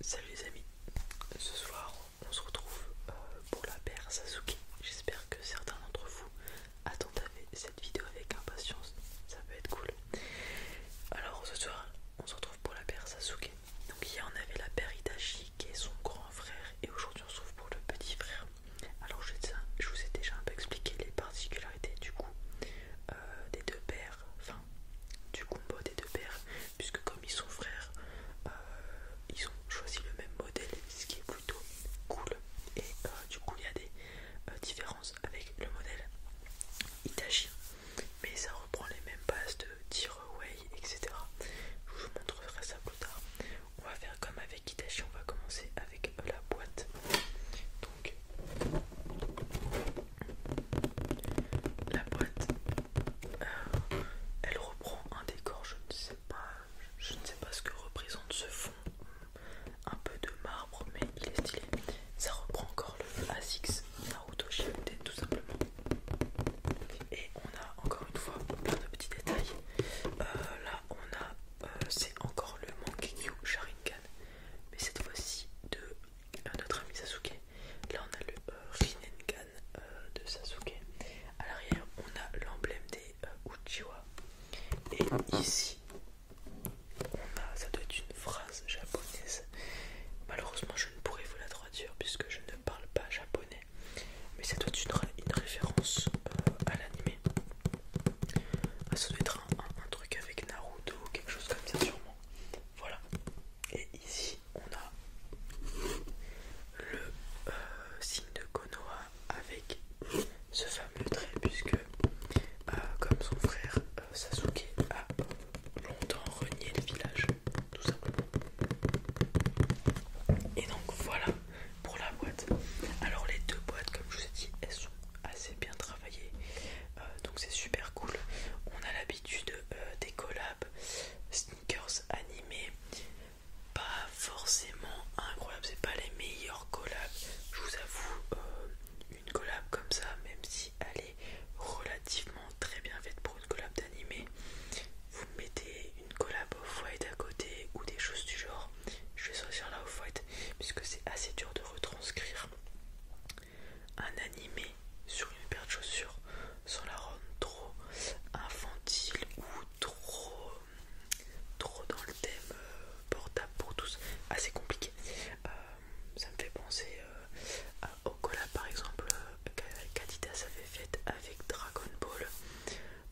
Salut les amis, ce soir on se retrouve euh, pour la paire Sasuke. J'espère que certains d'entre vous attendent cette vidéo avec impatience, ça peut être cool. Alors ce soir on se retrouve pour la paire Sasuke. Donc hier on avait la paire Itachi qui est son grand frère et aujourd'hui on se retrouve pour le petit frère. Alors je, vous ai déjà un peu expliqué les particularités du coup euh, des deux pères du combo des deux paires, puisque comme ils sont frères, euh, ils ont choisi le même modèle, ce qui est plutôt cool. Et euh, du coup, il y a des euh, différences avec le modèle Itachi, mais ça reprend les mêmes bases de Tiraway, etc. Je vous montrerai ça plus tard. On va faire comme avec Itachi, on va commencer avec la boîte. Donc la boîte, euh, elle reprend un décor, je ne sais pas, je ne sais pas ce que représente ce fond, euh, un peu de marbre, mais il est stylé. Ça reprend encore le ASICS Naruto Shippuden tout simplement. Et on a encore une fois plein de petits détails. Euh, là, on a, c'est encore le Mangekyou Sharingan, mais cette fois-ci de notre ami Sasuke. Là, on a le euh, euh, de Sasuke. À l'arrière, on a l'emblème des euh, Uchiwa. Et ici, on a, ça doit être une phrase japonaise. Malheureusement, je ne pourrais vous la traduire puisque je ne parle pas japonais. Mais ça doit être une, référence à l'anime. Ah, ça doit être un, truc avec Naruto ou quelque chose comme ça, sûrement. Voilà. Et ici, on a le euh, signe de Konoha avec ce fameux trait, puisque, euh, comme son frère euh, Sasuke a longtemps renié le village, tout simplement. Et donc voilà pour la boîte. Alors les deux boîtes, comme je vous ai dit, elles sont assez bien travaillé euh, donc c'est super cool on a l'habitude euh, des collabs sneakers animés pas forcément incroyables c'est pas les meilleurs collabs je vous avoue euh, une collab comme ça même si elle est relativement très bien faite pour une collab d'animé vous mettez une collab au white à côté ou des choses du genre je vais sortir la au fouet puisque c'est assez dur de retranscrire un animé sur une paire de chaussures sans la rendre trop infantile ou trop, trop dans le thème euh, portable pour tous. Assez compliqué. Euh, ça me fait penser au euh, à par exemple. qu'Adidas s'avait faite avec Dragon Ball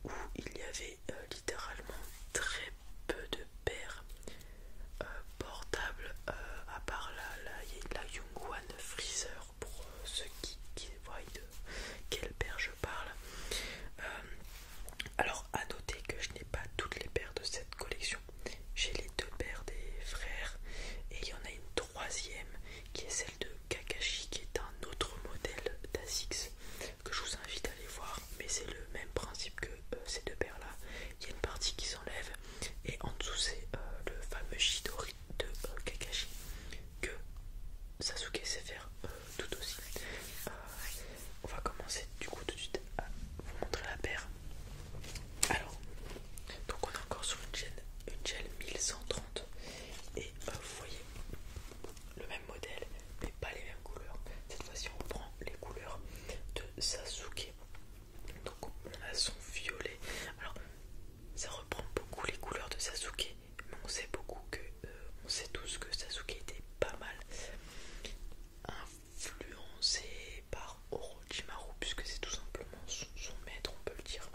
où il y avait euh, littéralement très peu de paires euh, portables euh, à part la, la, Yungwan Freezer pour ceux qui, voient de quelle paire je parle. alors à noter que je n'ai pas toutes les paires de cette collection. J'ai les deux paires des frères et il y en a une troisième qui est celle de Kakashi qui est un autre modèle d'Asix que je vous invite à aller voir mais c'est le même principe que euh, ces deux paires là il y a une partie qui s'enlève et en dessous c'est euh, le fameux Shidori de euh, Kakashi que Sasuke sait faire tout aussi on va commencer du coup tout de suite à vous montrer la paire alors donc on est encore sur une chaîne gel 1130 et vous voyez le même modèle mais pas les mêmes couleurs. Cette fois-ci on prend les couleurs de Sasuke. Donc on a son violet. Alors ça reprend beaucoup les couleurs de Sasuke, mais on sait beaucoup que euh, on sait tous que Sasuke était pas mal influencé par Orochimaru puisque c'est tout simplement son, son maître on peut le dire.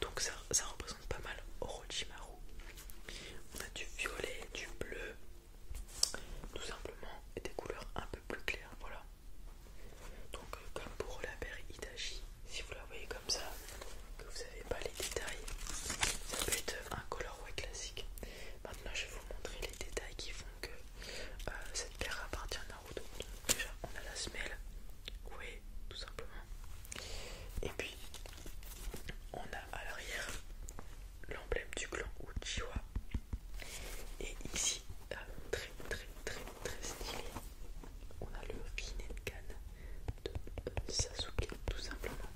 Donc ça ça représente pas mal Orochimaru. On a du violet, du bleu, tout simplement, et des couleurs un peu plus claires, voilà. Donc euh, comme pour la paire Itachi, si vous la voyez comme ça, que vous n'avez pas les détails, ça peut être un colorway classique. Maintenant je vais vous montrer les détails qui font que euh, cette paire appartient à Naruto. déjà on a la semelle, oui, tout simplement. Et puis on a à l'arrière l'emblème du clan Uchiwa. Et ici, euh, très très très très stylé, on a le Rinnegan de euh, Sasuke tout simplement.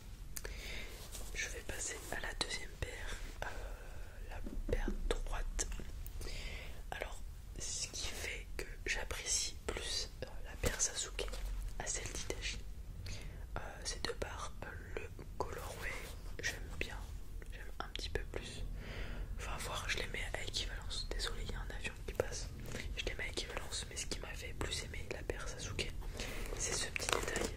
Je vais passer à la deuxième paire, euh, la paire droite. Alors, ce qui fait que j'apprécie plus euh, la paire Sasuke à celle d'Itachi. Euh, c'est de par euh, le colorway, j'aime bien, j'aime un petit peu plus. Enfin, voir, je les mets à équivalence. Désolé, il y a un avion qui passe. Je les mets à équivalence, mais ce qui m'a fait plus aimer la paire Sasuke, c'est ce petit détail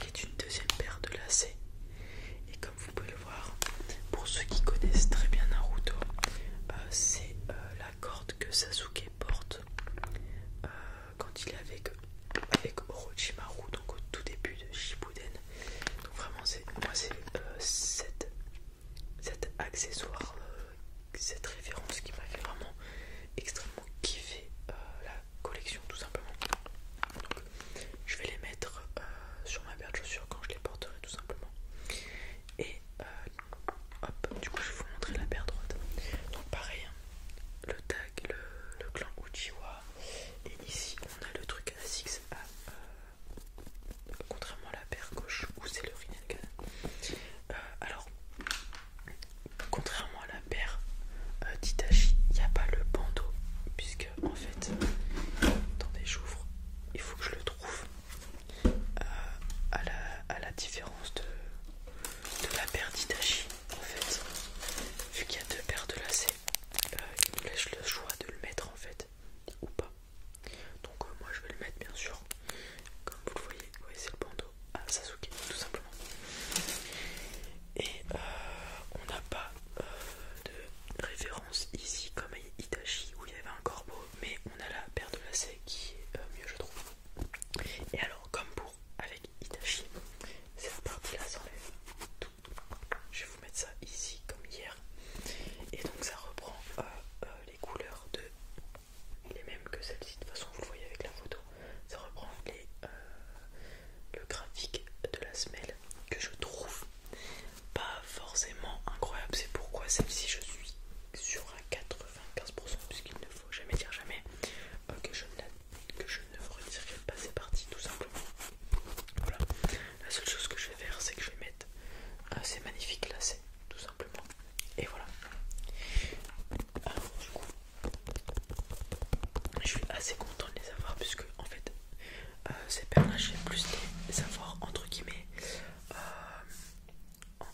qui est une deuxième paire de lacets. Et comme vous pouvez le pour ceux qui connaissent très bien Naruto, euh, c'est euh, la corde que Sasuke porte euh, quand il est avec, Orochimaru, donc au tout début de Shippuden. Donc vraiment, c'est moi c'est cet, accessoire, cette référence qui m'a fait vraiment extrêmement kiffer la collection tout simplement. Donc je vais les mettre sur ma paire de chaussures quand je les porterai tout simplement. Et euh, hop, du coup, je vais vous montrer la paire droite. Donc, pareil, hein, le tag, le, clan Uchiwa. Et ici, on a le truc à 6 euh, contrairement à la paire gauche où c'est le Rinnegan. Euh, alors, contrairement à la paire d'Itachi, il n'y a pas le bandeau, puisque en fait, des j'ouvre, il faut que je le trouve euh, à, la, différence de, la paire d'Itachi en fait vu qu'il y a deux paires de lacets euh, il nous laisse le choix de le mettre en fait ou pas donc euh, moi je vais le mettre bien sûr comme vous le voyez, c'est le bandeau à Sasuke tout simplement et on n'a pas de référence ici comme à Itachi où il y avait un corbeau mais on a la paire de lacets qui est euh, mieux je trouve et alors comme pour avec Itachi cette partie là s'enlève tout je vais vous mettre ça ici comme hier et donc ça reprend euh, euh, les couleurs de les mêmes que celle-ci de toute façon vous le voyez avec la photo ça reprend les, le graphique de la semelle que je trouve pas forcément incroyable. C'est pourquoi celle-ci je suis sur à 95% puisqu'il ne faut jamais dire jamais euh, que, je ne, que pas ces parties tout simplement. Voilà. La seule chose que je vais faire c'est que je vais mettre ah, ces magnifiques lacets tout simplement. Et voilà. Alors, du coup, je suis assez content de les avoir puisque en fait euh, c'est ces là j'ai plus les avoir entre guillemets euh,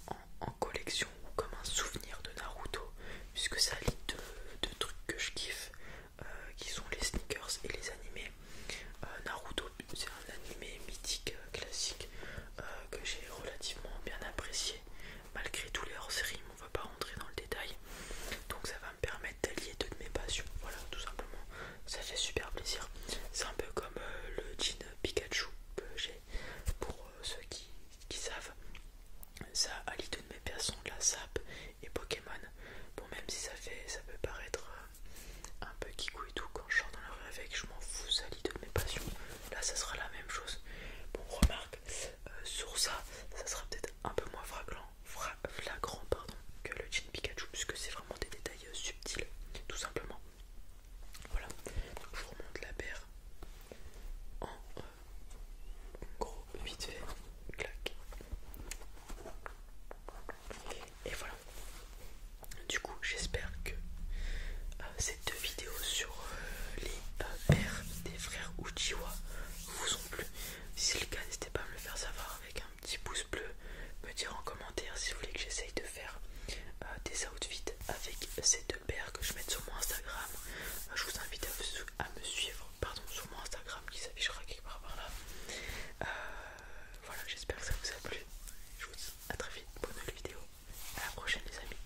en, collection ou comme un souvenir de Naruto, puisque ça lit deux de trucs que je kiffe euh, qui sont les sneakers et les animés. Naruto, c'est un animé mythique classique que j'ai relativement bien apprécié malgré tous les hors-séries, on va pas rentrer dans le détail. Donc ça permettre d'allier deux de mes passions. Voilà, tout simplement. Ça fait super plaisir. C'est un peu comme euh, le jean Pikachu que j'ai pour euh, ceux qui, savent. Ça allie deux de mes passions, la sap et Pokémon. Bon, même si ça fait, ça peut paraître euh, un peu kikou et tout quand je sors dans la rue avec, je m'en fous. Ça allie deux de mes passions. Là, ça sera la même chose. Bon, remarque, euh, sur ça, ça sera peut-être un peu moins flagrant, flagrant pardon, que le jean Pikachu, puisque c'est vraiment des détails euh, subtils, tout simplement. Voilà, je vous remonte la paire euh, en gros, vite fait, clac. Et voilà. Du coup, j'espère que cette ces deux vidéos sur les paires des frères Uchiwa vous ont plu. Si c'est le cas, n'hésitez pas à me le faire savoir avec un petit pouce bleu. Me dire en commentaire si vous voulez que j'essaye de faire euh, des outfits avec ces deux paires que je mette sur mon Instagram. Euh, je vous invite à, me suivre pardon, sur mon Instagram qui s'affichera quelque part par là. Euh, voilà, j'espère que ça vous a plu. Je vous dis à très vite pour une nouvelle vidéo. À la prochaine, les amis.